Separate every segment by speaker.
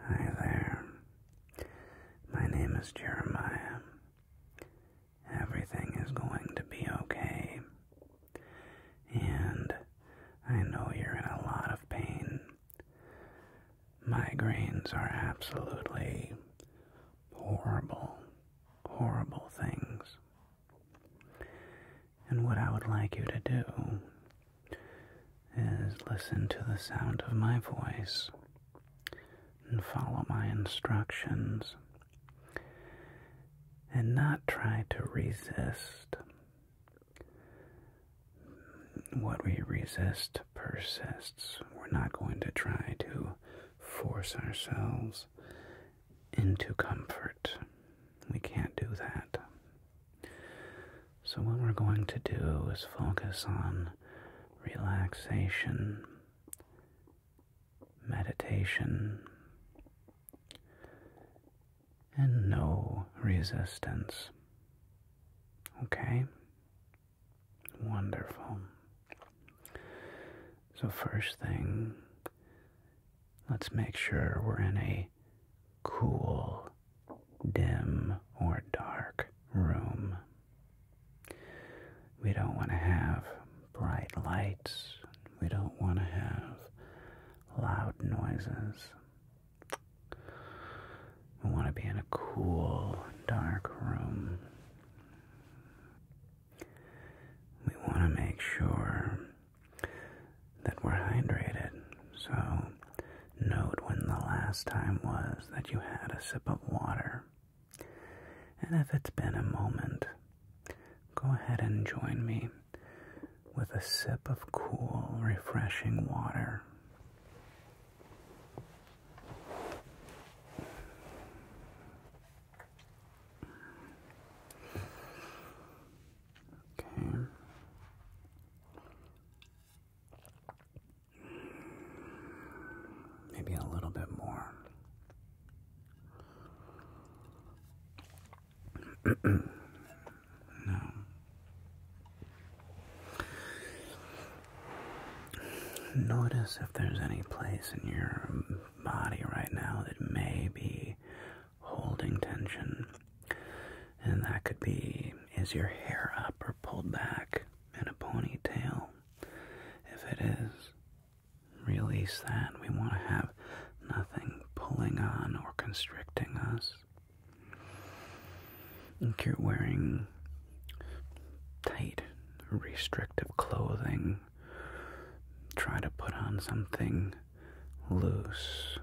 Speaker 1: Hi there. My name is Jeremiah. Everything is going to be okay. And I know you're in a lot of pain. Migraines are absolutely horrible, horrible things. And what I would like you to do is listen to the sound of my voice and follow my instructions and not try to resist. What we resist persists. We're not going to try to force ourselves into comfort. We can't do that. So, what we're going to do is focus on relaxation, meditation, and no resistance. Okay? Wonderful. So, first thing, let's make sure we're in a cool, dim, or dark room. We don't want to have bright lights. We don't want to have loud noises. We want to be in a cool, dark room. We want to make sure that we're hydrated. So, note when the last time was that you had a sip of water. And if it's been a moment, go ahead and join me with a sip of cool, refreshing water. Okay. Maybe a little bit more. no. Notice if there's any place in your body right now that may be holding tension. And that could be is your hair up or pulled back in a ponytail? If it is, release that. We want to have nothing pulling on or constricting us. If you're wearing tight, restrictive clothing. Try to put on something loose,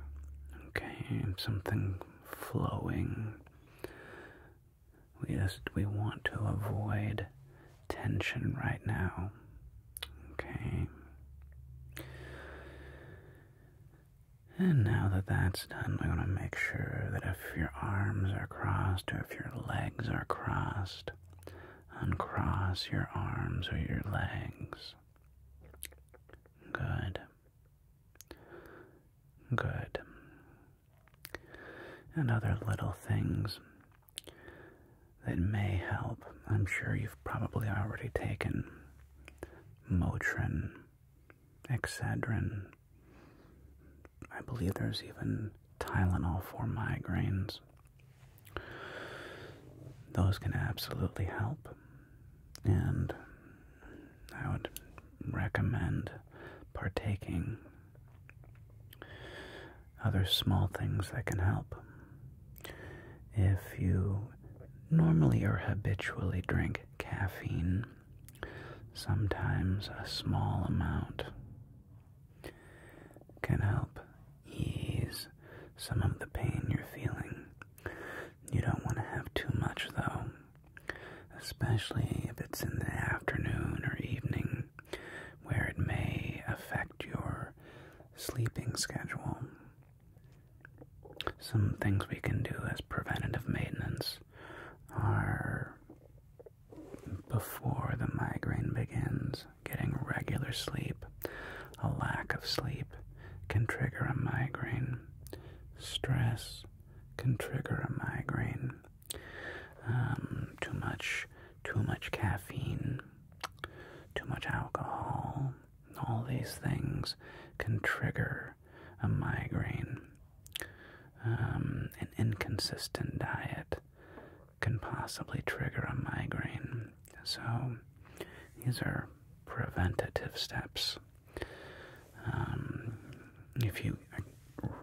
Speaker 1: okay, something flowing. We just we want to avoid tension right now, okay. And now that that's done, i want to make sure that if your arms are crossed or if your legs are crossed, uncross your arms or your legs. Good. Good. And other little things that may help. I'm sure you've probably already taken Motrin, Excedrin, I believe there's even Tylenol for migraines. Those can absolutely help, and I would recommend partaking. Other small things that can help. If you normally or habitually drink caffeine, Sometimes a small amount can help ease some of the pain you're feeling. You don't want to have too much, though, especially if it's in the afternoon or evening where it may affect your sleeping schedule. Some things we can do as preventative maintenance are before the migraine begins, getting regular sleep. A lack of sleep can trigger a migraine. Stress can trigger a migraine. Um, too much, too much caffeine, too much alcohol. All these things can trigger a migraine. Um, an inconsistent diet can possibly trigger a migraine. So these are preventative steps. Um, if you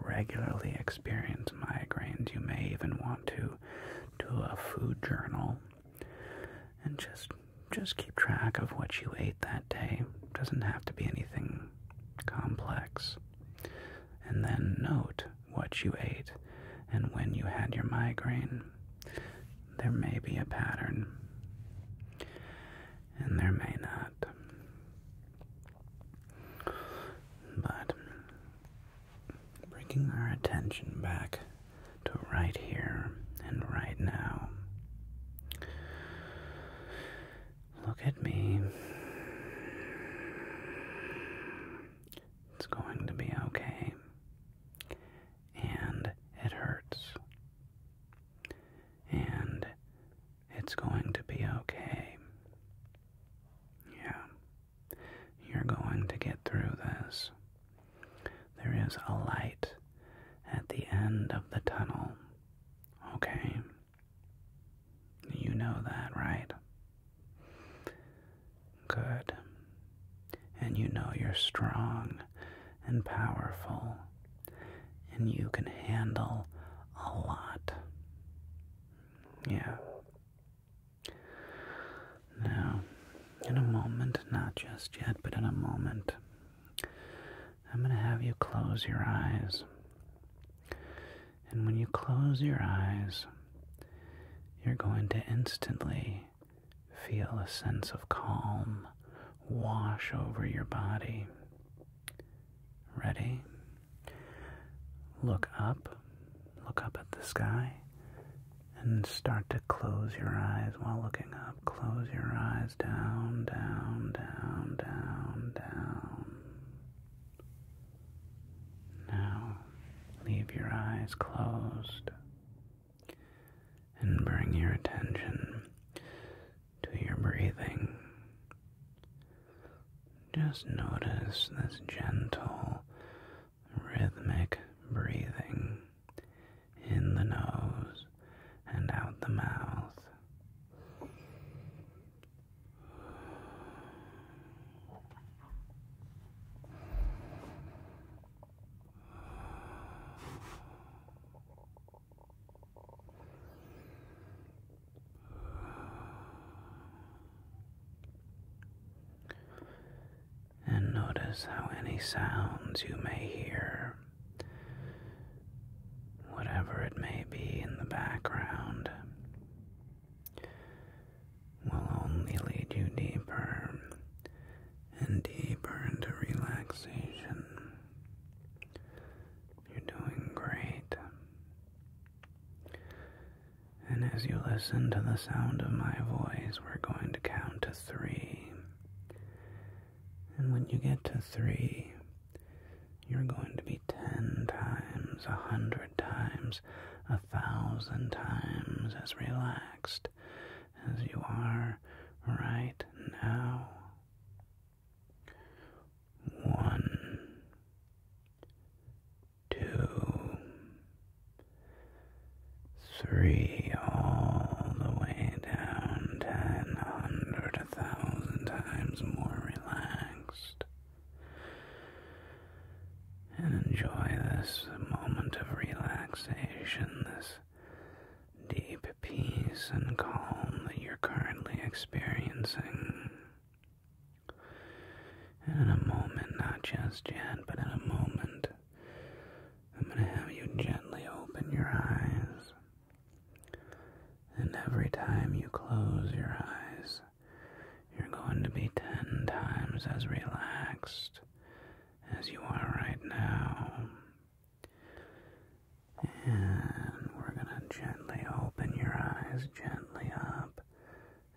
Speaker 1: regularly experience migraines, you may even want to do a food journal and just just keep track of what you ate that day. Doesn't have to be anything complex. And then note what you ate and when you had your migraine. There may be a pattern, and there may not. But bringing our attention back to right here and right now. Look at me. It's going to be okay. And it hurts. And it's going to be okay. Yeah. You're going to get through this. There is a light at the end of the tunnel. Okay? You know that, right? Good. And you know you're strong and powerful, and you can handle a lot. Yeah. Now, in a moment, not just yet, but in a moment, I'm going to have you close your eyes. And when you close your eyes, you're going to instantly feel a sense of calm wash over your body. Ready? Look up, look up at the sky, and start to close your eyes while looking up. Close your eyes down, down, down, down, down. Now, leave your eyes closed and bring your attention to your breathing. Just notice this gentle, rhythmic breathing in the nose and out the mouth. And notice how any sounds you may hear whatever it may be in the background, will only lead you deeper and deeper into relaxation. You're doing great. And as you listen to the sound of my voice, we're going to count to three. And when you get to three, you're going to be ten times, a hundred times, a thousand times as relaxed as you are right now. One, two, three, all the way down, ten, a hundred, a thousand times more relaxed. And enjoy this moment of relaxation, this deep peace and calm that you're currently experiencing. And in a moment, not just yet, but in a moment, I'm going to have you gently open your eyes. And every time you close your eyes, you're going to be ten times as relaxed as you are right now. And we're going to gently open your eyes, gently up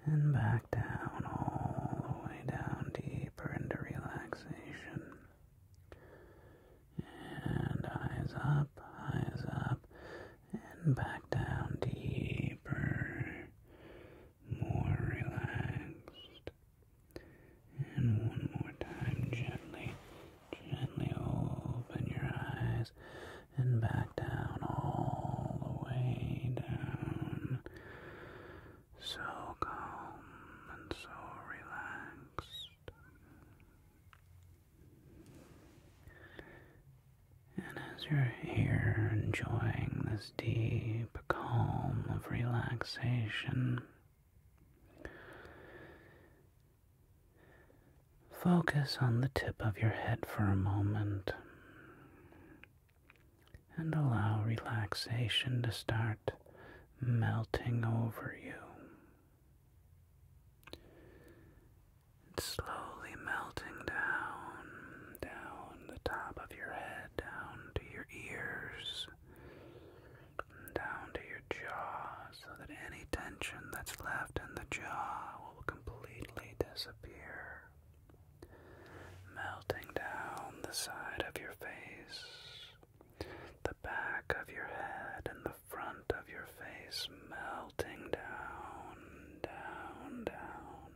Speaker 1: and back down, all the way down deeper into relaxation. And eyes up, eyes up, and back down deeper, more relaxed. And one more time, gently, gently open your eyes and back down, all the way down. So calm and so relaxed. And as you're here enjoying this deep calm of relaxation, focus on the tip of your head for a moment and allow relaxation to start melting over you slowly melting down, down the top of your head, down to your ears, down to your jaw, so that any tension that's left in the jaw will completely disappear. Melting down the side of your face, the back of your head, and the the front of your face, melting down, down, down,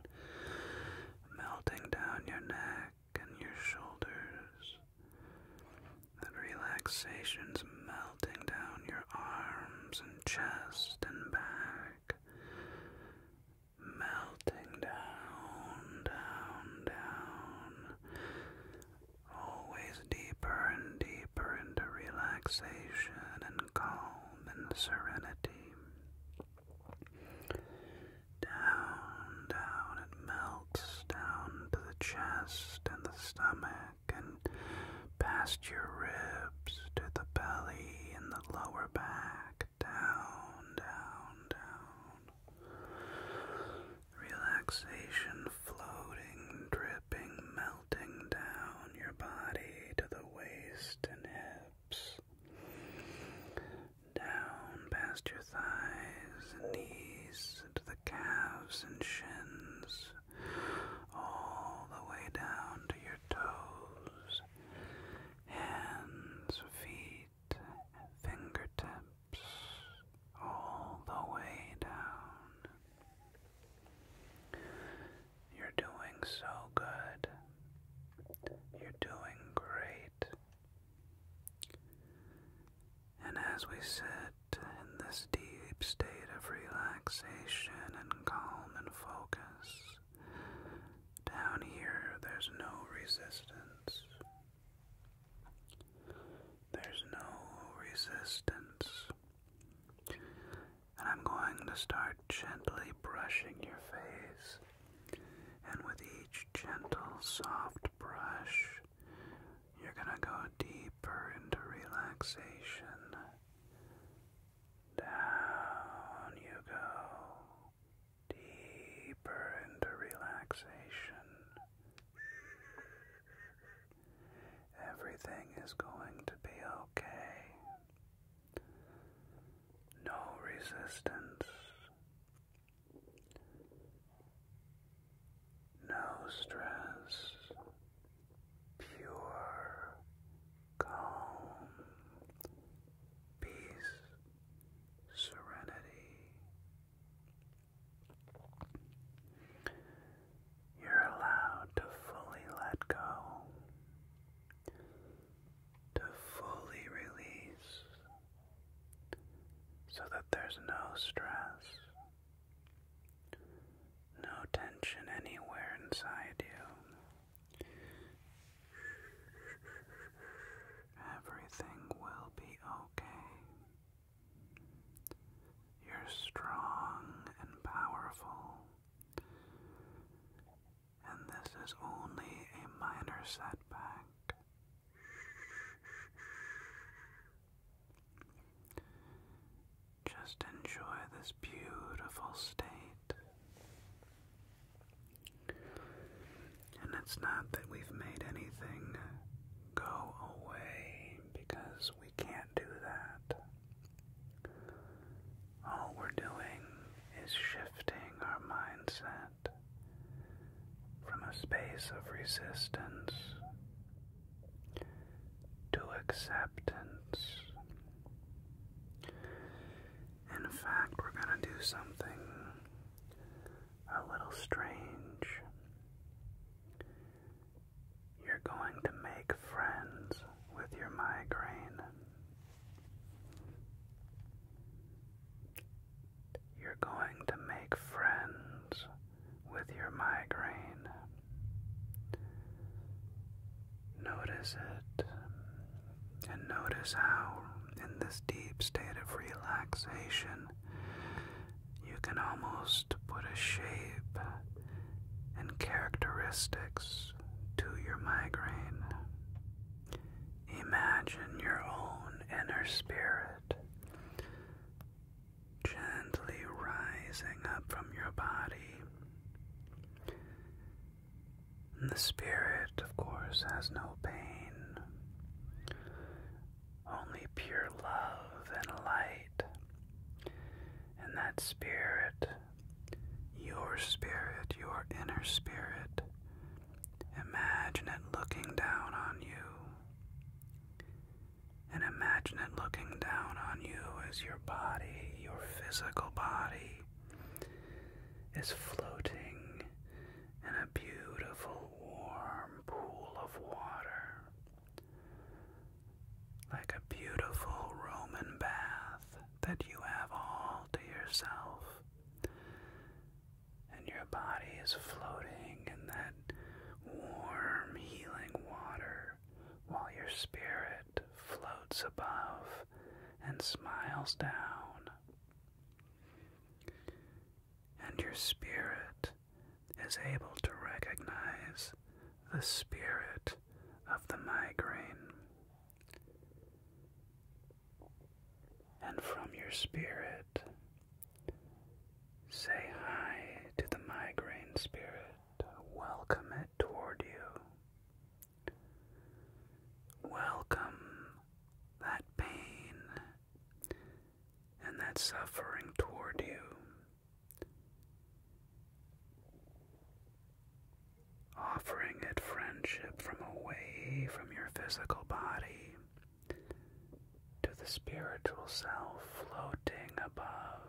Speaker 1: melting down your neck and your shoulders. That relaxation's melting down your arms and chest and back. Melting down, down, down. Always deeper and deeper into relaxation and calm and serenity. Down, down it melts down to the chest and the stomach and past your ribs to the belly and the lower back. Down, down, down. Relaxation floating, dripping, melting down your body to the waist and hips, down past your thighs and knees to the calves and shins, all the way down to your toes, hands, feet, fingertips, all the way down. You're doing so good. You're doing great. And as we sit in this deep state of relaxation and calm and focus, down here there's no resistance. There's no resistance. And I'm going to start gently brushing your face. And with each gentle, soft brush, you're going to go deeper into relaxation. Down you go, deeper into relaxation. Everything is going to be okay. No resistance. No stress. Pure, calm, peace, serenity you're allowed to fully let go, to fully release, so that there's no stress, no tension anywhere inside you. Everything will be okay. You're strong and powerful. And this is only a minor setback. Just enjoy this beautiful state. And it's not that we've made anything go away because we can't do that. All we're doing is shifting our mindset from a space of resistance to acceptance. In fact, we're going to do something a little strange. You're going to make friends with your migraine. You're going to make friends with your migraine. Notice it and notice how, in this deep state of relaxation, you can almost put a shape and characteristics to your migraine. Imagine your own inner spirit gently rising up from your body. the spirit, of course, has no pain, only pure love and light. And that spirit your spirit, your inner spirit. Imagine it looking down on you. And imagine it looking down on you as your body, your physical body, is floating in a beautiful warm pool of water like a beautiful Roman bath that you have all to yourself, and your body is floating in that warm, healing water while your spirit floats above and smiles down. And your spirit is able to recognize the spirit of the migraine. And from your spirit, say hi to the migraine spirit, welcome it toward you. Welcome that pain and that suffering toward you offering it friendship from away from your physical body to the spiritual self floating above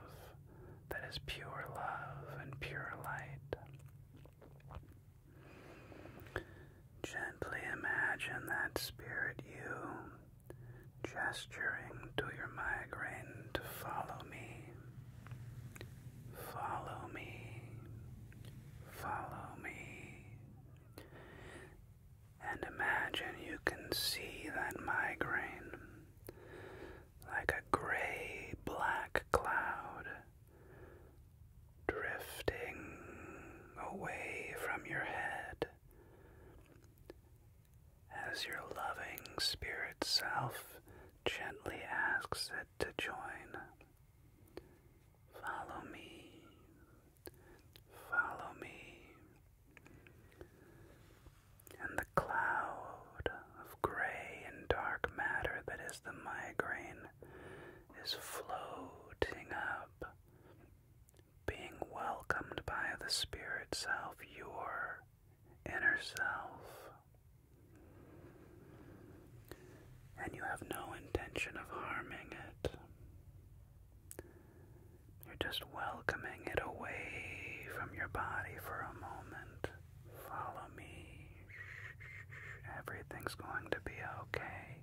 Speaker 1: that is pure love and pure light. Gently imagine that spirit you gesturing to your migraine to follow me Follow me, follow me, and imagine you can see that migraine like a gray black cloud drifting away from your head as your loving spirit self gently asks it to join. Follow me, follow me. And the cloud of gray and dark matter that is the migraine is floating up, being welcomed by the spirit self, your inner self. And you have no intention of harming it. You're just welcoming it away from your body for a moment. Follow me. Everything's going to be okay.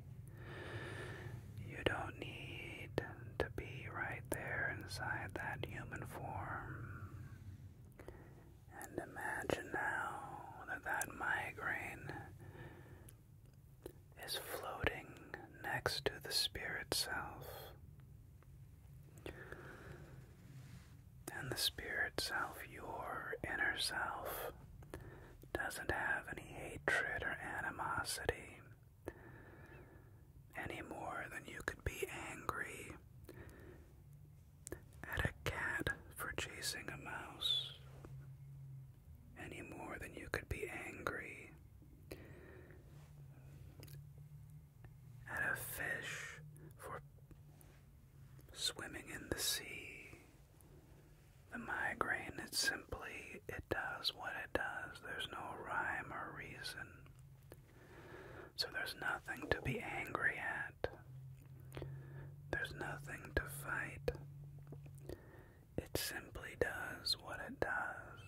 Speaker 1: You don't need to be right there inside that human form. And imagine now that that migraine is floating next to the spirit self. And the spirit self, your inner self, doesn't have any hatred or animosity any more than you could be angry at a cat for chasing a mouse, any more than you could be angry at a fish for swimming in the sea. The migraine, it's simply, it does what it does. There's no rhyme or reason. So there's nothing to be angry at. There's nothing to fight. It simply does what it does.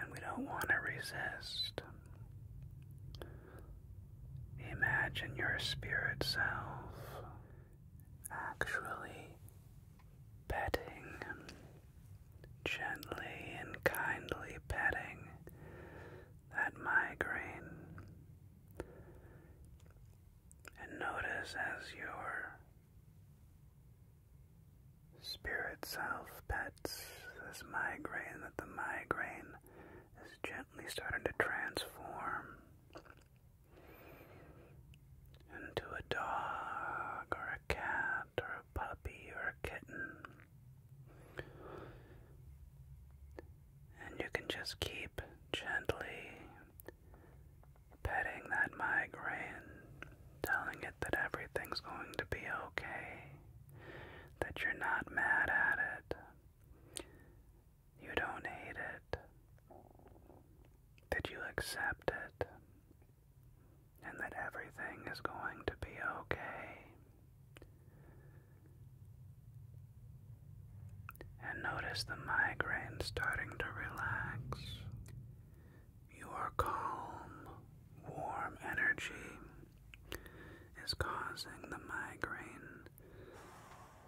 Speaker 1: And we don't want to resist. Imagine your spirit self actually petting gently and kindly petting that migraine. And notice as your spirit self pets this migraine that the migraine is gently starting to transform into a dog or a cat or or a puppy or a kitten. And you can just keep gently petting that migraine, telling it that everything's going to be okay, that you're not mad at it, you don't hate it, that you accept it, and that everything is going to be okay. And notice the migraine starting to relax. Your calm, warm energy is causing the migraine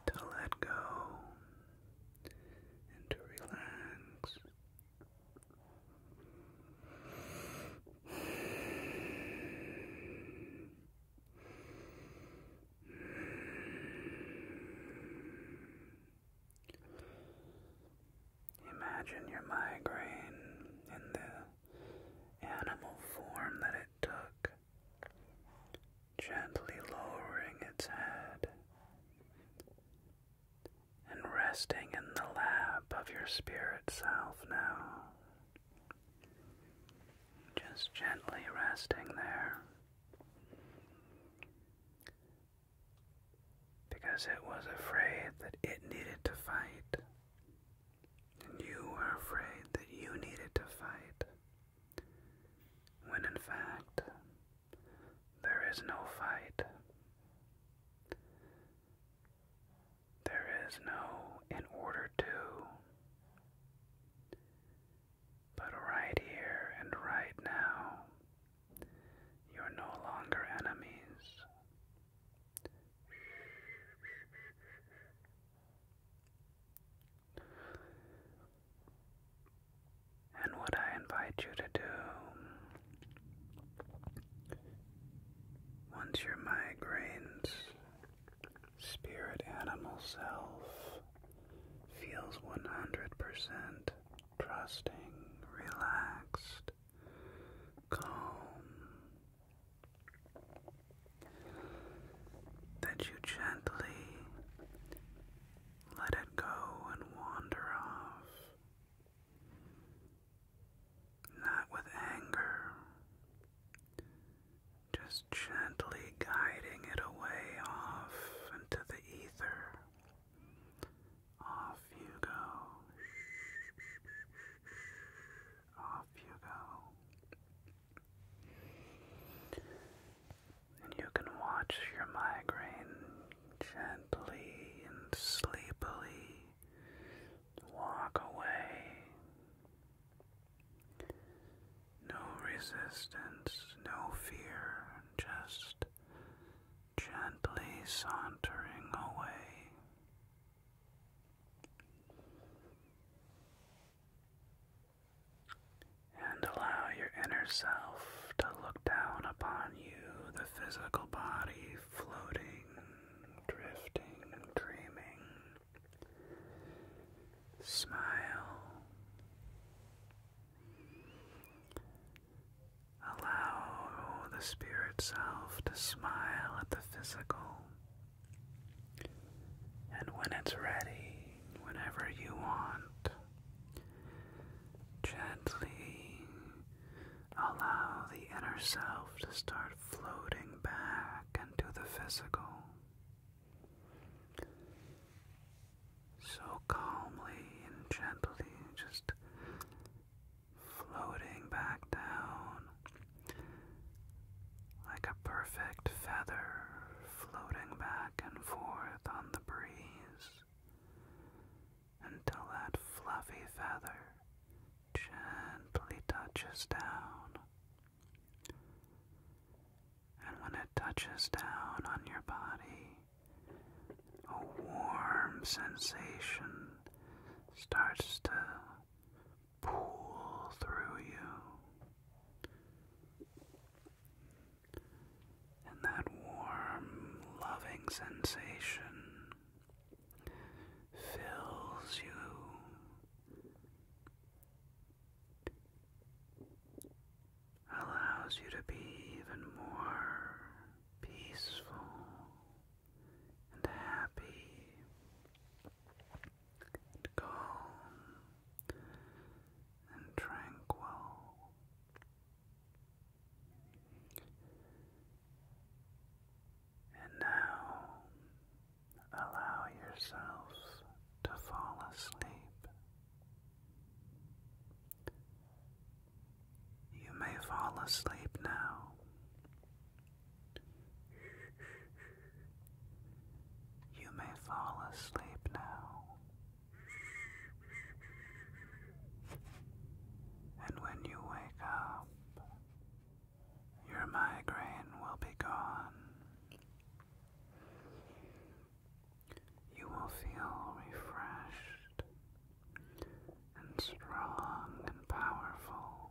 Speaker 1: to let go and to relax Imagine your migraine in the animal form that it took, gently lowering its head, and resting in the lap of your spirit self now. Just gently resting there. Because it was afraid that it needed to fight. And you were afraid that you needed to fight. When in fact, there is no fight. There is no in order to, but right here and right now, you're no longer enemies. And what I invite you to do once your migraines, spirit animal self feels 100% trusting, relaxed, calm. That you gently let it go and wander off not with anger, just gently guiding it away off into the ether. Off you go. Off you go. And you can watch your migraine gently and sleepily walk away. No resistance, no fear, just gently sauntering away. And allow your inner self to look down upon you, the physical body floating drifting, dreaming. Smile. Allow the spirit self to smile at the physical. And when it's ready, whenever you want, gently Allow the inner self to start floating back into the physical. So calmly and gently, just floating back down like a perfect feather floating back and forth on the breeze until that fluffy feather gently touches down. And when it touches down on your body, a warm sensation starts to pool through you. And that warm, loving sensation fills you, allows you to be even more peaceful and happy and calm and tranquil. And now allow yourself to fall asleep. You may fall asleep now. You may fall asleep now. And when you wake up, your migraine will be gone. You will feel refreshed and strong and powerful.